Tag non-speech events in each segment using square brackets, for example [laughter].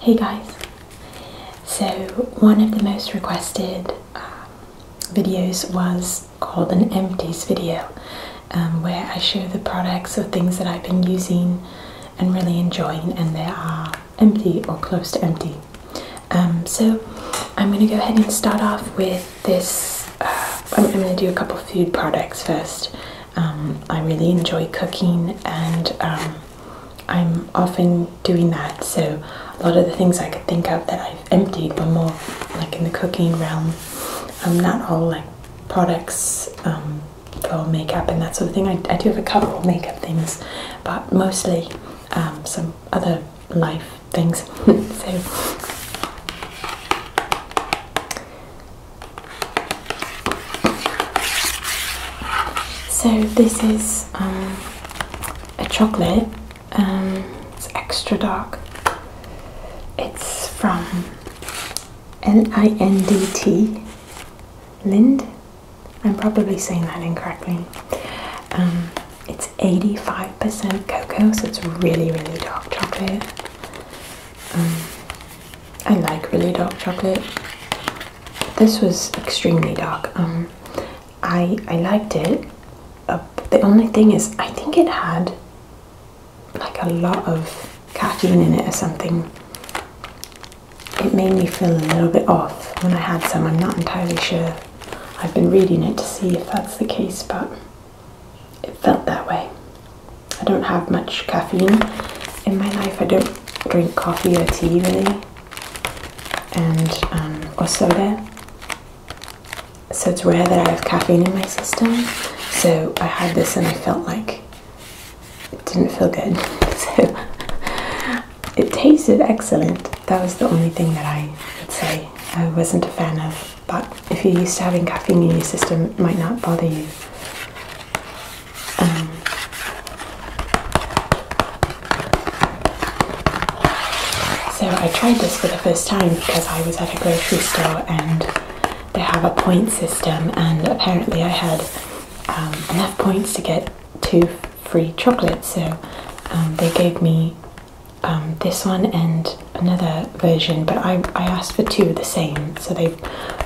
Hey guys, so one of the most requested um, videos was called an empties video um, where I show the products or things that I've been using and really enjoying and they are empty or close to empty. Um, so I'm going to go ahead and start off with this. Uh, I'm, going to do a couple food products first. Um, I really enjoy cooking and um, I'm often doing that. So a lot of the things I could think of that I've emptied were more like in the cooking realm. not all like products for makeup and that sort of thing. I, do have a couple makeup things, but mostly some other life things. [laughs] so so this is um, a chocolate. Um, it's extra dark. It's from L-I-N-D-T Lind. I'm probably saying that incorrectly. Um, it's 85% cocoa, so it's really, really dark chocolate. Um, I like really dark chocolate. This was extremely dark. Um, I I liked it. Uh, the only thing is, I think it had like a lot of caffeine in it or something. It made me feel a little bit off when I had some. I'm not entirely sure. I've been reading it to see if that's the case, but it felt that way. I don't have much caffeine in my life. I don't drink coffee or tea really, and um, or soda. So it's rare that I have caffeine in my system. So I had this and I felt like it didn't feel good. [laughs] It tasted excellent. That was the only thing that I would say I wasn't a fan of. But if you're used to having caffeine in your system, it might not bother you. Um, so I tried this for the first time because I was at a grocery store and they have a point system, and apparently I had um, enough points to get two free chocolate, so um, they gave me um, this one and another version. But I, I asked for two of the same, so they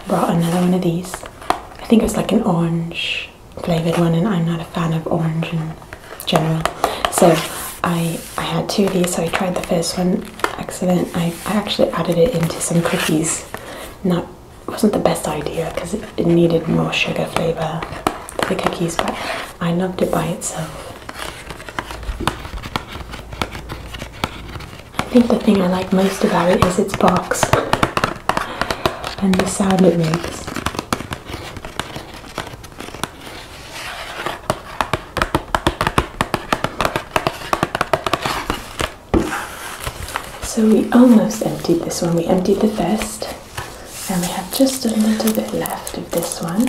brought another one of these. I think it was like an orange flavored one, and I'm not a fan of orange in general. So I I had two of these. So I tried the first one, excellent. I, I actually added it into some cookies. Not wasn't the best idea because it needed more sugar flavor the cookies, but I loved it by itself. I think the thing I like most about it is its box and the sound it makes. So we almost emptied this one. We emptied the first and we have just a little bit left of this one.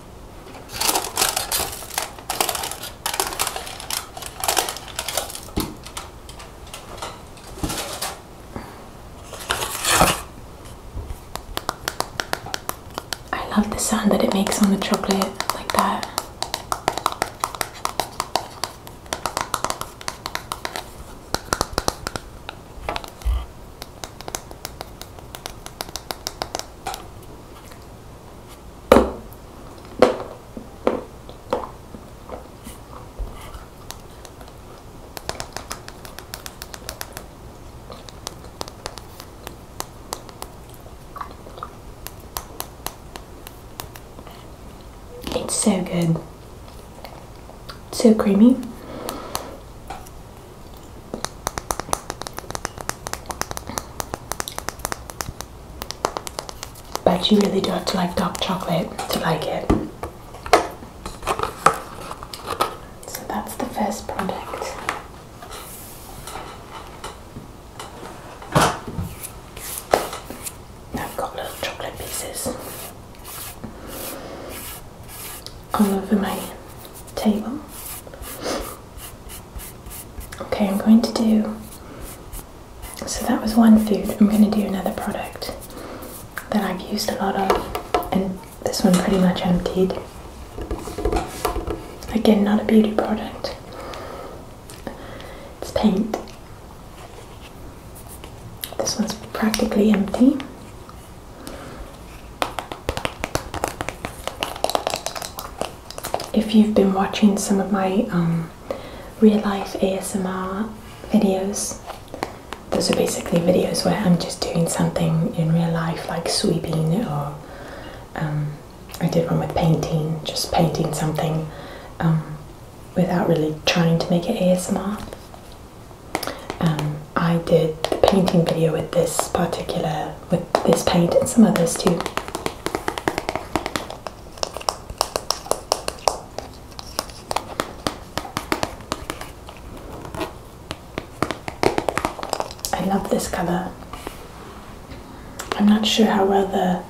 I love the sound that it makes on the chocolate like that. It's so good. so creamy. But you really do have to like dark chocolate to like it. So that's the first product. I've got little chocolate pieces all over my table. Okay, I'm going to do. So that was one food. I'm going to do another product that I've used a lot of, and this one pretty much emptied. Again, not a beauty product, it's paint. This one's practically empty if you've been watching some of my um, real life ASMR videos, those are basically videos where I'm just doing something in real life, like sweeping, or um, I did one with painting, just painting something um, without really trying to make it ASMR. I did the painting video with this particular with this paint and some others too. I love this color. I'm not sure how well the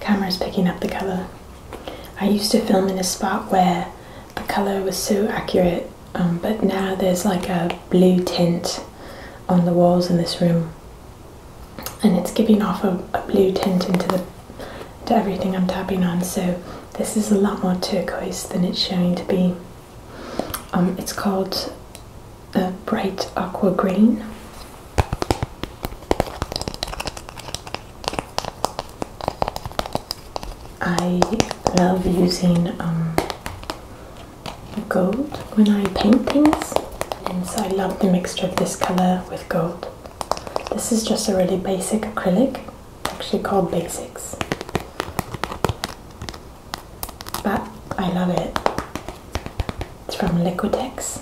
camera is picking up the color. I used to film in a spot where the color was so accurate um, but now there's like a blue tint on the walls in this room and it's giving off a, blue tint into the to everything I'm tapping on so this is a lot more turquoise than it's showing to be um, it's called a bright aqua green I love using um, gold when I paint things and so I love the mixture of this color with gold. This is just a really basic acrylic, actually called Basics. But I love it. It's from Liquitex.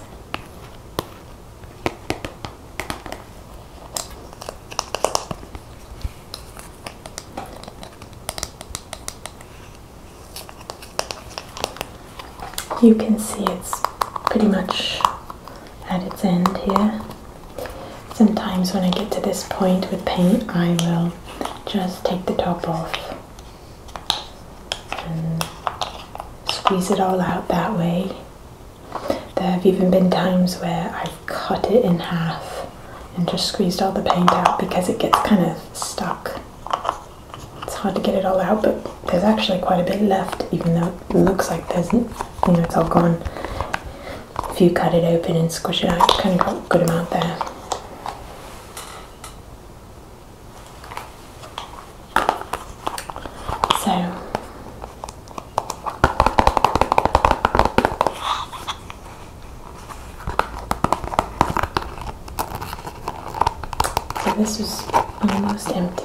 You can see it's pretty much at its end here. Sometimes when I get to this point with paint, I will just take the top off and squeeze it all out that way. There have even been times where I've cut it in half and just squeezed all the paint out because it gets kind of stuck. It's hard to get it all out, but there's actually quite a bit left, even though it looks like there's, you know, it's all gone. If you cut it open and squish it out, you kind of got a good amount there. So, so this is almost empty.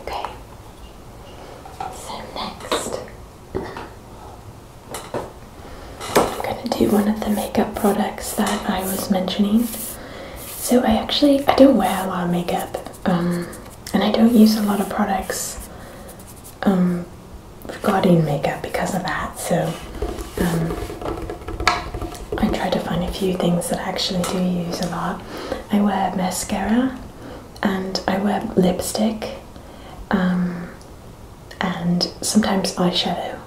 Okay. So next, I'm gonna do one of the makeup products that I was mentioning. So I actually I don't wear a lot of makeup, um, and I don't use a lot of products um, regarding makeup because of that. So um, I try to find a few things that I actually do use a lot. I wear mascara and I wear lipstick um, and sometimes eyeshadow,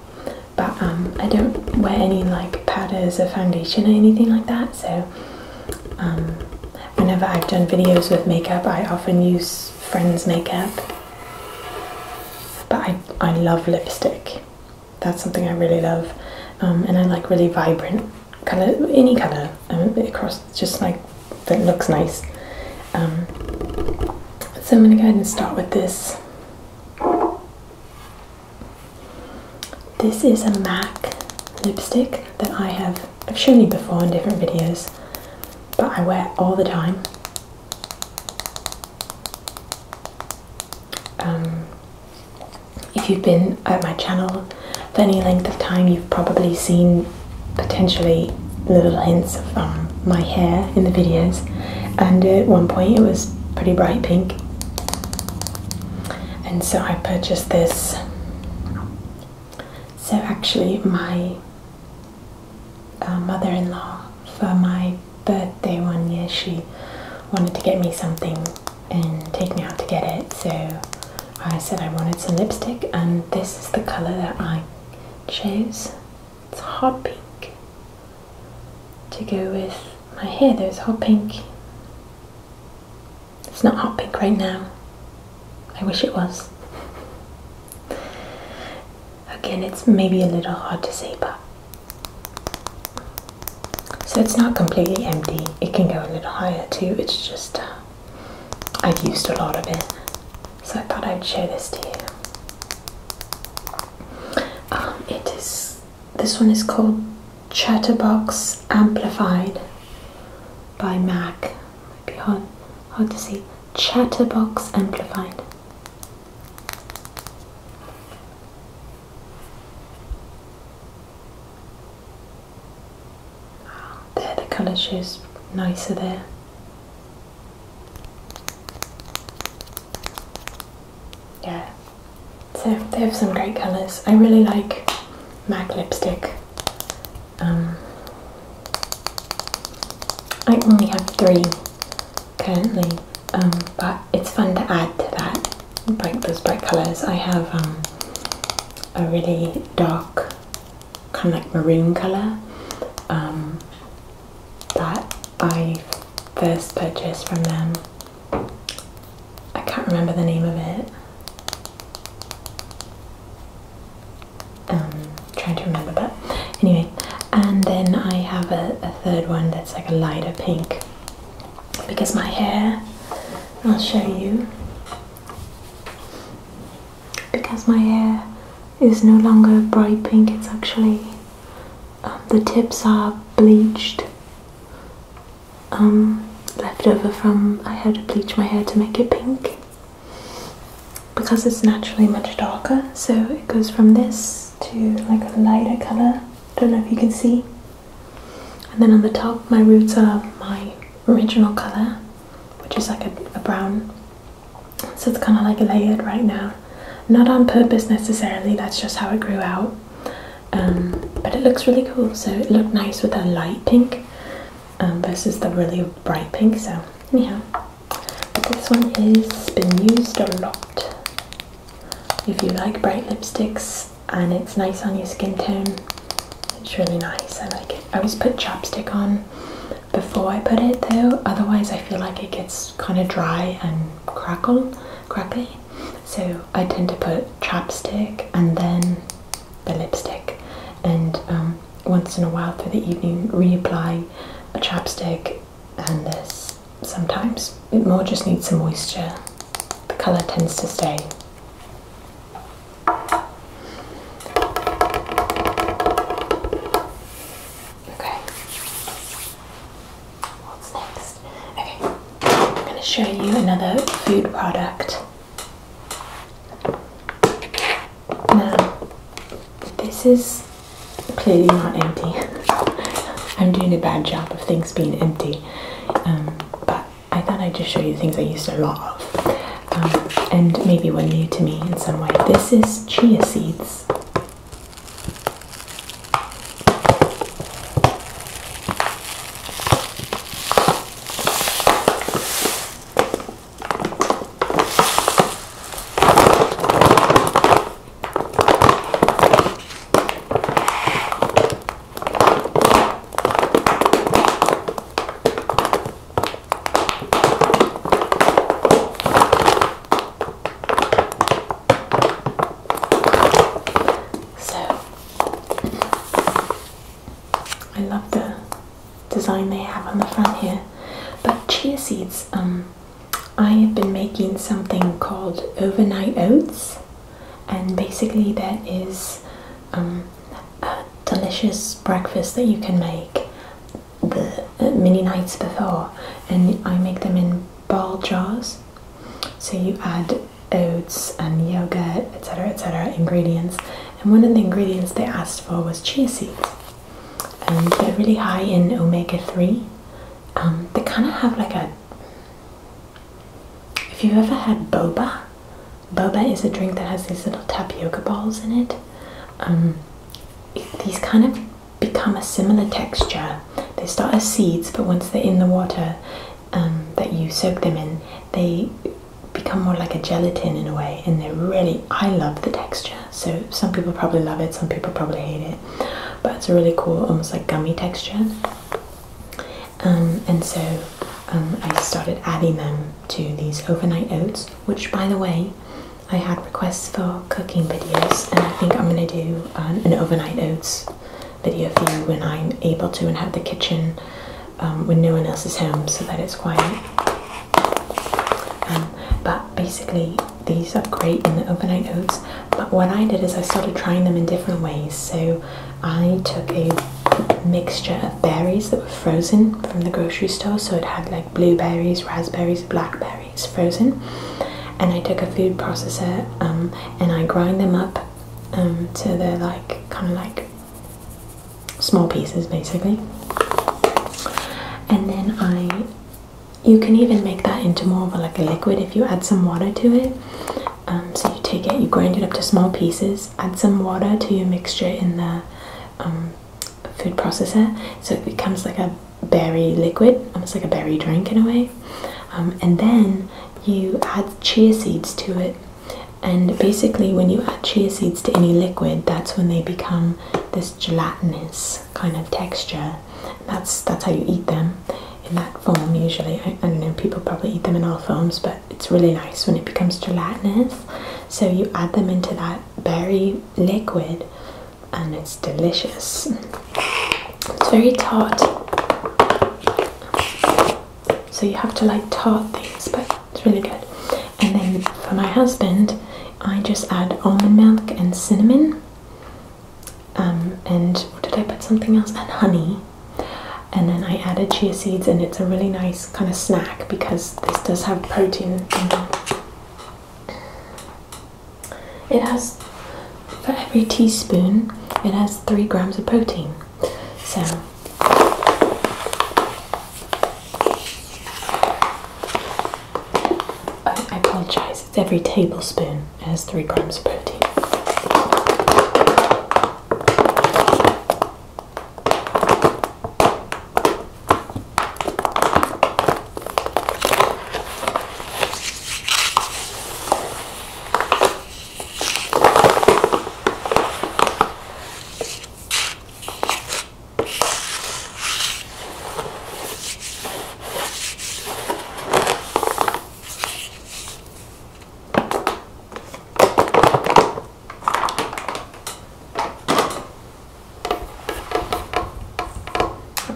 but um, I don't wear any like powders or foundation or anything like that. So um, whenever I've done videos with makeup, I often use friends' makeup, but I, I love lipstick that's something I really love, um, and I like really vibrant color, any color um, across, just like that looks nice. Um, so I'm gonna go ahead and start with this. This is a MAC lipstick that I have I've shown you before in different videos, but I wear all the time. Um, if you've been at my channel for any length of time, you've probably seen potentially little hints of um, my hair in the videos, and at one point it was pretty bright pink. And so I purchased this. So actually, my uh, mother-in-law for my birthday one year, she wanted to get me something and take me out to get it. So I said I wanted some lipstick, and this is the color that I chose. It's hot pink to go with my hair. There's hot pink. It's not hot pink right now. I wish it was. Again, it's maybe a little hard to see, but so it's not completely empty, it can go a little higher too, it's just uh, I've used a lot of it. So I thought I'd show this to you. Um, it is, this one is called Chatterbox Amplified by Mac. Might be hard, hard to see. Chatterbox Amplified. Oh, there, the colour shows nicer there. Yeah, so they have some great colours. I really like MAC lipstick. Um, I only have three currently, um, but it's fun to add to that. Bright those bright colours. I have um, a really dark, kind of like maroon colour um, that I first purchased from them. I can't remember the name of it. Um, trying to remember, that anyway and then I have a, third one that's like a lighter pink because my hair I'll show you because my hair is no longer bright pink it's actually um, the tips are bleached um, leftover from I had to bleach my hair to make it pink because it's naturally much darker so it goes from this to like a lighter color. I don't know if you can see. And then on the top, my roots are my original color, which is like a, brown. So it's kind of like layered right now. Not on purpose necessarily, that's just how it grew out. Um, but it looks really cool. So it looked nice with a light pink um, versus the really bright pink. So anyhow. But this one has been used a lot. If you like bright lipsticks and it's nice on your skin tone, it's really nice. I like it. I always put chapstick on before I put it though, otherwise I feel like it gets kind of dry and crackle, crackly. So I tend to put chapstick and then the lipstick, and um, once in a while through the evening reapply a chapstick and this sometimes it more just needs some moisture. The colour tends to stay. Okay. What's next? Okay, I'm going to show you another food product. Now, this is clearly not empty. [laughs] I'm doing a bad job of things being empty, um, but I thought I'd just show you things I used a lot of um, and maybe were new to me in some way. This is chia seeds. So I love the design they have on the front here. But chia seeds um, I have been making something called overnight oats, and basically, that is um, a delicious breakfast that you can make the uh, many nights before. And I make them in ball jars, so you add oats and yogurt, etc., etc., ingredients. And one of the ingredients they asked for was chia seeds and um, they're really high in omega-3 um, they kind of have like a if you've ever had boba boba is a drink that has these little tapioca balls in it um, these kind of become a similar texture they start as seeds but once they're in the water that you soak them in they become more like a gelatin in a way and they're really i love the texture so some people probably love it, some people probably hate it, but it's a really cool, almost like gummy texture. Um, and so um, I started adding them to these overnight oats, which, by the way, I had requests for cooking videos, and I think I'm gonna do uh, an, overnight oats video for you when I'm able to and have the kitchen um, when no one else is home so that it's quiet. Um, but basically, these are great in the overnight oats. But what I did is I started trying them in different ways. So I took a mixture of berries that were frozen from the grocery store. So it had like blueberries, raspberries, blackberries frozen. And I took a food processor um, and I grind them up um, they're like kind of like small pieces basically. And then I you can even make that into more of a, like a liquid if you add some water to it. Um, so you take it, you grind it up to small pieces, add some water to your mixture in the um, food processor, so it becomes like a berry liquid, almost like a berry drink in a way. Um, and then you add chia seeds to it, and basically when you add chia seeds to any liquid, that's when they become this gelatinous kind of texture. that's that's how you eat them in that form usually. I, know, people probably eat them in all forms, but it's really nice when it becomes gelatinous. So you add them into that berry liquid and it's delicious. It's very tart. So you have to like tart things, but it's really good. And then for my husband, I just add almond milk and cinnamon. Um, and what did I put something else? And honey. And then I added chia seeds, and it's a really nice kind of snack because this does have protein. It has, for every teaspoon, it has three grams of protein. So, I apologise, it's every tablespoon. It has three grams of protein.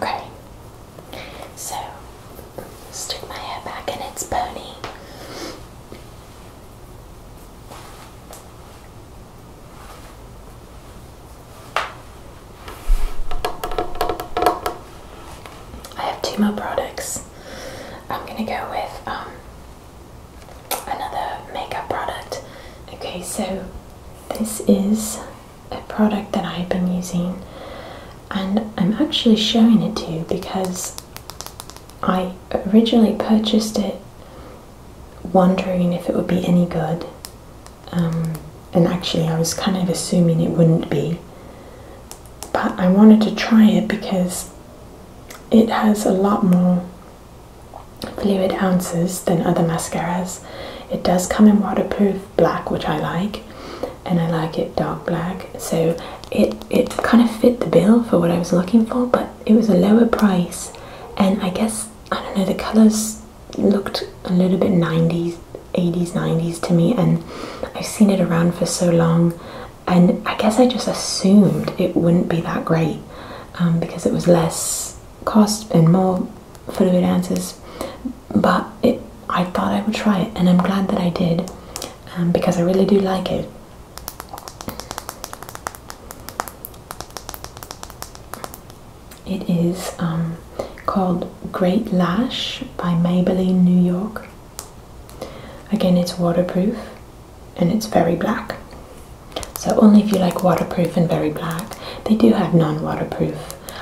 Okay, so stick my hair back and its pony. I have two more products. I'm gonna go with um, another makeup product. Okay, so this is a product that I've been using, and I'm actually showing it to you because I originally purchased it wondering if it would be any good. Um, and actually, I was kind of assuming it wouldn't be. But I wanted to try it because it has a lot more fluid ounces than other mascaras. It does come in waterproof black, which I like, and I like it dark black. So it, it kind of fit the bill for what I was looking for, but it was a lower price and I guess I don't know the colors looked a little bit 90s, 80s, 90s to me, and I've seen it around for so long, and I guess I just assumed it wouldn't be that great um, because it was less cost and more fluid answers, but I thought I would try it, and I'm glad that I did um, because I really do like it. It is um, called Great Lash by Maybelline New York. Again, it's waterproof and it's very black. So only if you like waterproof and very black. They do have non-waterproof.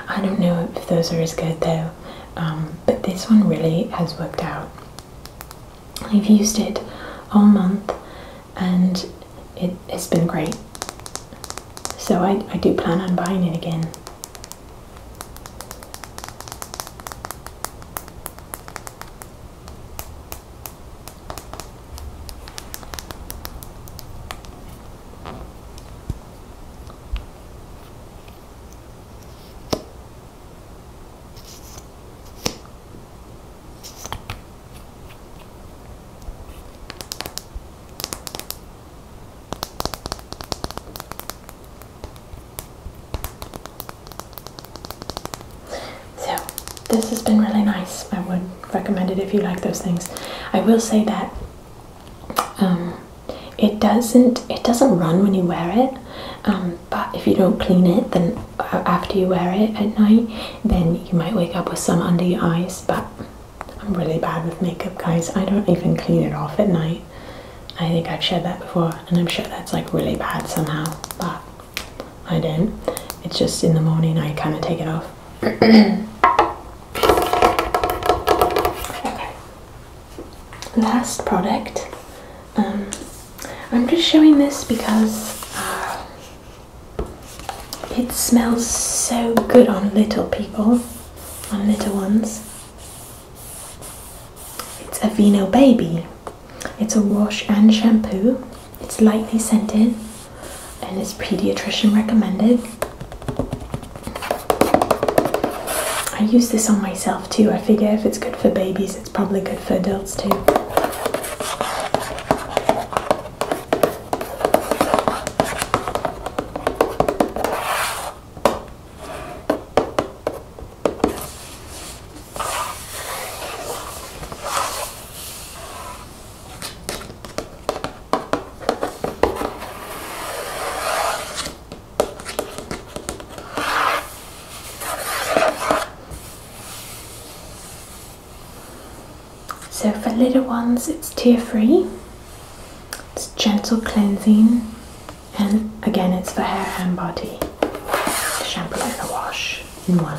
I don't know if those are as good though. Um, but this one really has worked out. I've used it all month and it, has been great. So I, I do plan on buying it again. So, this has been really nice. I would recommend it if you like those things. I will say that um, it doesn't it doesn't run when you wear it. Um, um, but if you don't clean it then uh, after you wear it at night then you might wake up with some under your eyes but I'm really bad with makeup guys I don't even clean it off at night I think I've shared that before and I'm sure that's like really bad somehow but I do. not it's just in the morning I kind of take it off [coughs] okay last product um, I'm just showing this because uh, it smells so good on little people, on little ones. It's Aveeno Baby. It's a wash and shampoo. It's lightly scented and it's pediatrician recommended. I use this on myself too. I figure if it's good for babies, it's probably good for adults too. So for little ones, it's tear free, it's gentle cleansing, and again, it's for hair and body. The shampoo and the wash in one.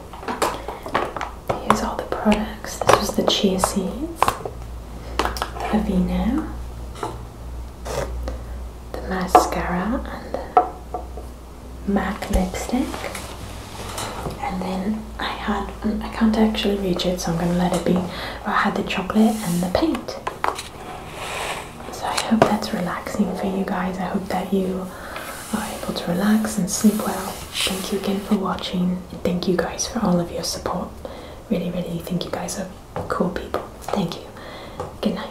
Here's all the products. This was the chia seeds, the Aveeno, the mascara, and the MAC lipstick. And then I had, mm, I can't actually reach it, so I'm going to let it be. I had the chocolate and the paint. So I hope that's relaxing for you guys. I hope that you are able to relax and sleep well. Thank you again for watching. And thank you guys for all of your support. Really, really thank you guys are cool people. Thank you. Good night.